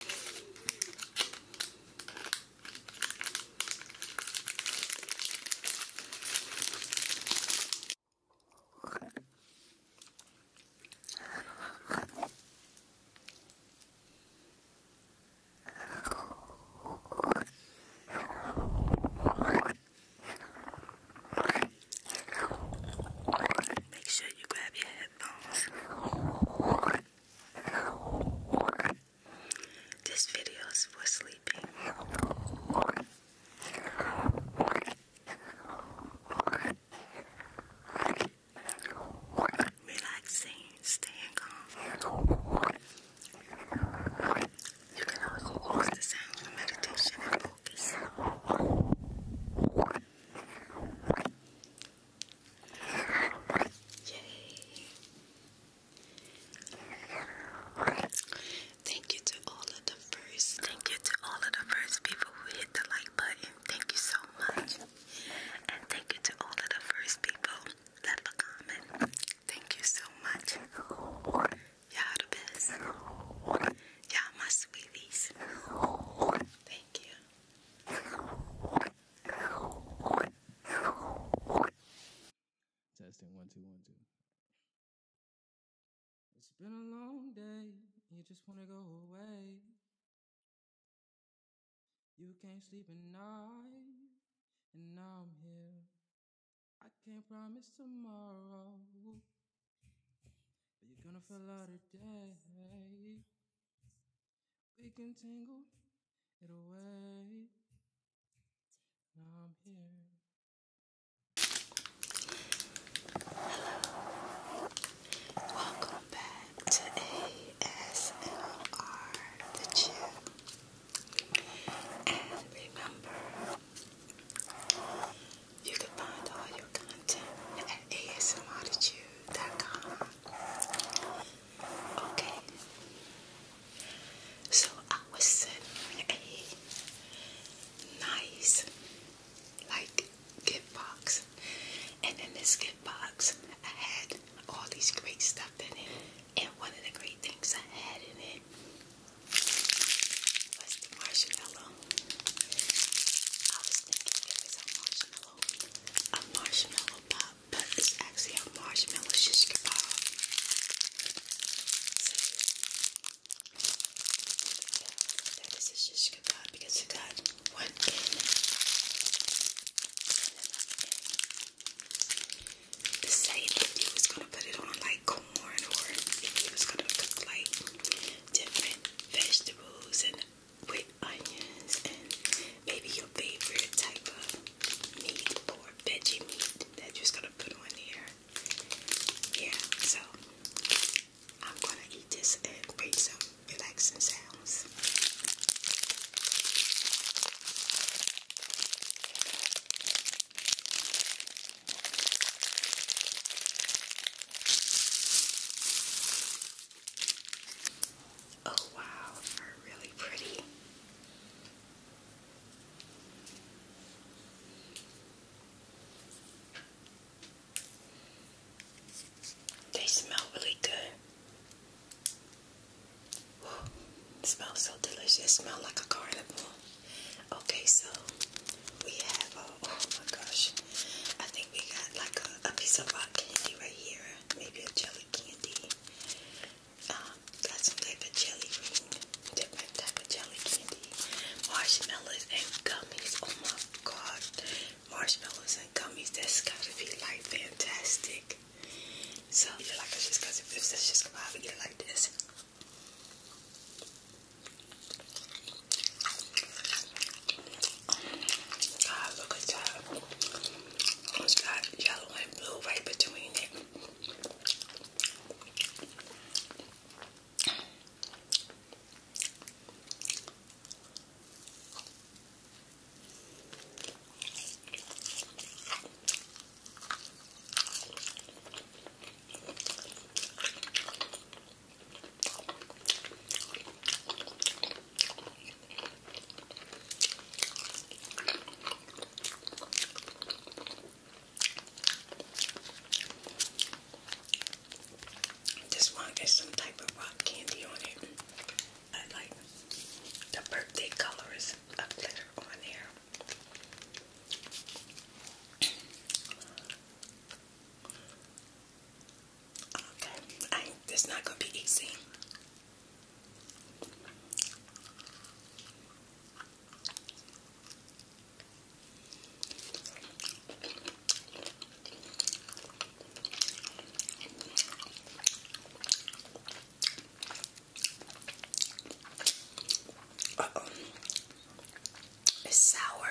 Make sure you grab your headphones. This video is for sleeping. Relaxing, staying calm. You can always use the sound for meditation Yay! Thank you to all of the first. Thank you to all of the first people who hit the like button. Thank you so much. And thank you to all of the first people that left a comment. Thank you so much. Y'all the best. Y'all my sweeties. Thank you. Testing one, two, one, two. It's been a long day, you just want to go away. You can't sleep at night, and now I'm here. I can't promise tomorrow you're gonna fall out of day. We can tangle it away. Hello. Welcome back to ASMR The Chip. And remember, you can find all your at asmrtitude.com. Okay. So I was sent a nice like gift box. And in this gift box I had all these great stuff in it. And one of the great things I had in it was the marshmallow. I was thinking it was a marshmallow also a marshmallow pop, but it's actually a marshmallow shish kebab. So, that is a shish kebab because it got one in. To say if you was gonna put it on like corn or if you was gonna cook like different vegetables and with onions and maybe your favorite type of meat or veggie meat that you're just gonna put on there. Yeah, so I'm gonna eat this and bring some relaxing sounds. Oh wow, are really pretty. They smell really good. smells so delicious. smells like a carnival. Okay, so we have oh, oh my gosh, I think we got like a, piece of rock candy right here, maybe a jelly candy. Um, got some type of jelly ring, different type of jelly candy, marshmallows and gummies. Oh my god, marshmallows and gummies, that's gotta be like fantastic. So, I feel like it's just because if it's just come out, we get it like this. God, look at that. It's got yellow and blue right between it. This one is some type of rock candy on it. I like the birthday colors of glitter on there. Okay, I it's not gonna be easy. It's sour.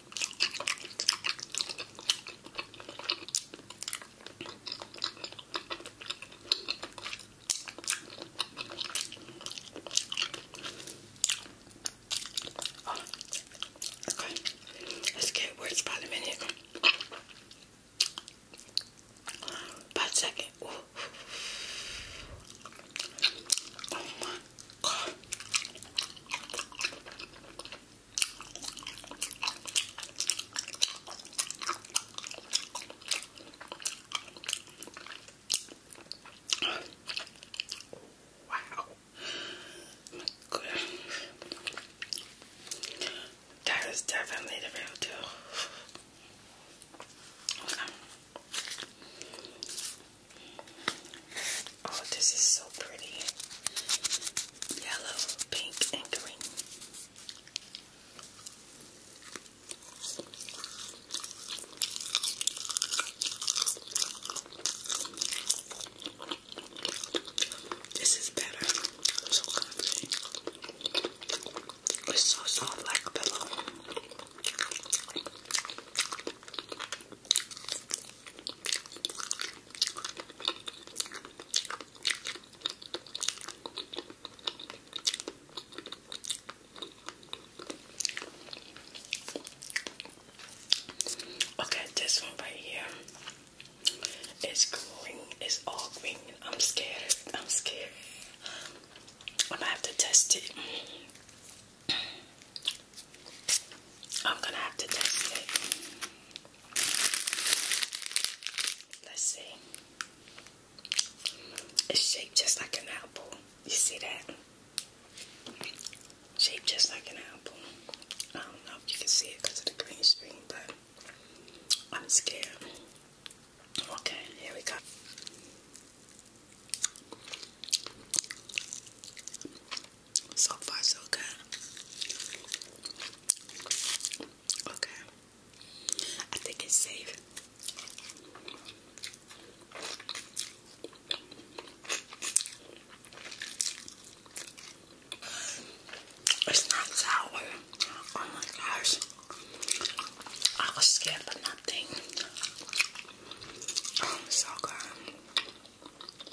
Oh, okay. Let's get words about a minute. About a second. Ooh. Oh my god. Wow. My That is definitely the real deal. Oh, this is so pretty. Yellow, pink, and green. This is better. It's so soft like a pillow. Okay, this one right here is growing, it's all green. I'm scared, I'm scared. I'm gonna have to test it. I'm gonna have to test it. Let's see. It's shaped just like an apple. You see that? Shaped just like an apple. I don't know if you can see it because of the green screen, but I'm scared. Okay, here we go. So far, so good. Okay. I think it's safe. It's not sour. Oh my gosh. I was scared for nothing. Oh, so good.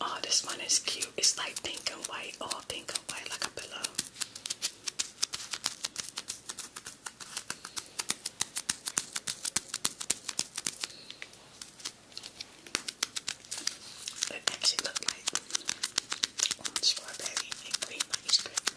Oh, this one is cute. It's like pink and white, all oh, pink and white, like a pillow. It makes it like strawberry and cream ice cream.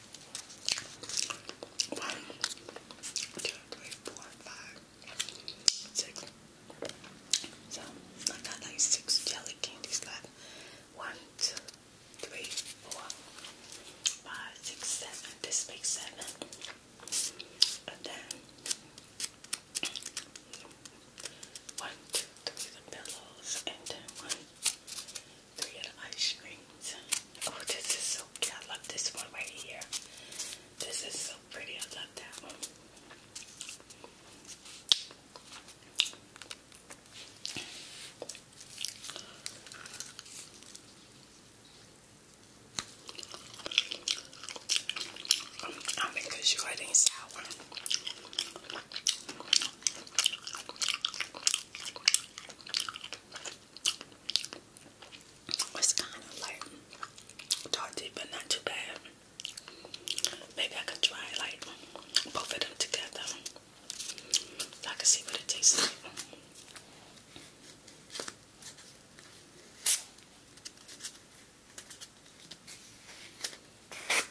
One, two, three, four, five, six. I got like six jelly candies left. One, two, three, four, five, six, seven. This makes seven. And then one, two, three, the pillows, and then one, three of ice creams. Oh, this is so cute. I love this one right here. This is so pretty. I love that one. I'm making sure it ain't sour. It's kind of like tarty, but not too bad. Maybe I could try like both of them together. I can see what it tastes like.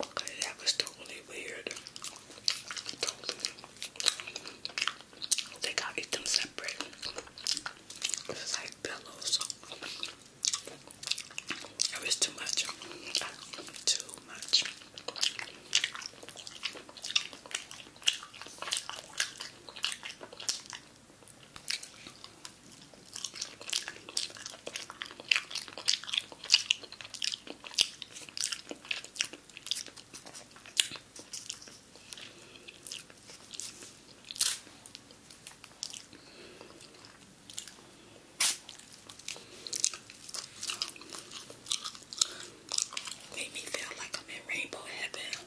Okay, that was totally weird. Totally. They eat them separate. It's like pillows. It was too much. Too much. Made me feel like I'm in rainbow heaven.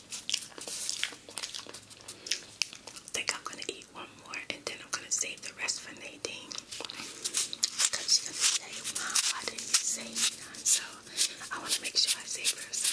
think I'm gonna eat one more and then I'm gonna save the rest for Nadine. Cause she's gonna say, Mom, why didn't you say none? So I wanna make sure I save her some.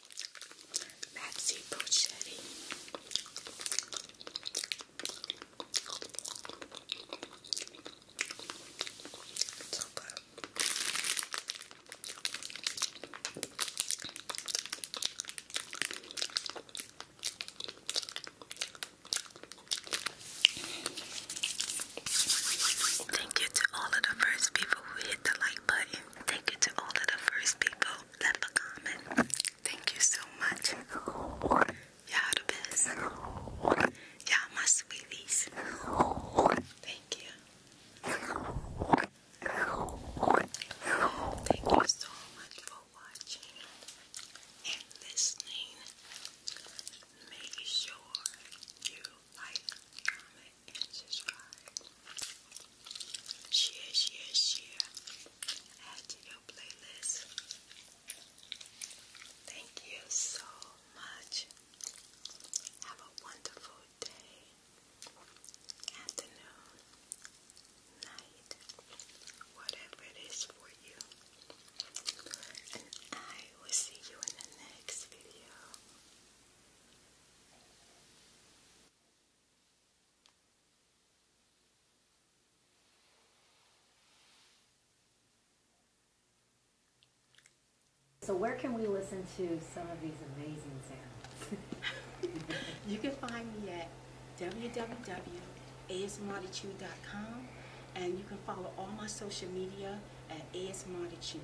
Maxi Pochetti. Thank you to all of the first people who hit the like Thank you to all of the first people that a comment. Thank you so much. Y'all the best. Y'all my sweeties. Thank you. Thank you so much for watching and listening. Make sure you like, comment, and subscribe. Share, share, share. Add to your playlist. Thank you so much. Have a wonderful day, afternoon, night, whatever it is for you. And I will see you in the next video. So where can we listen to some of these amazing sounds? you can find me at www.asmartichu.com and you can follow all my social media at asmartichu.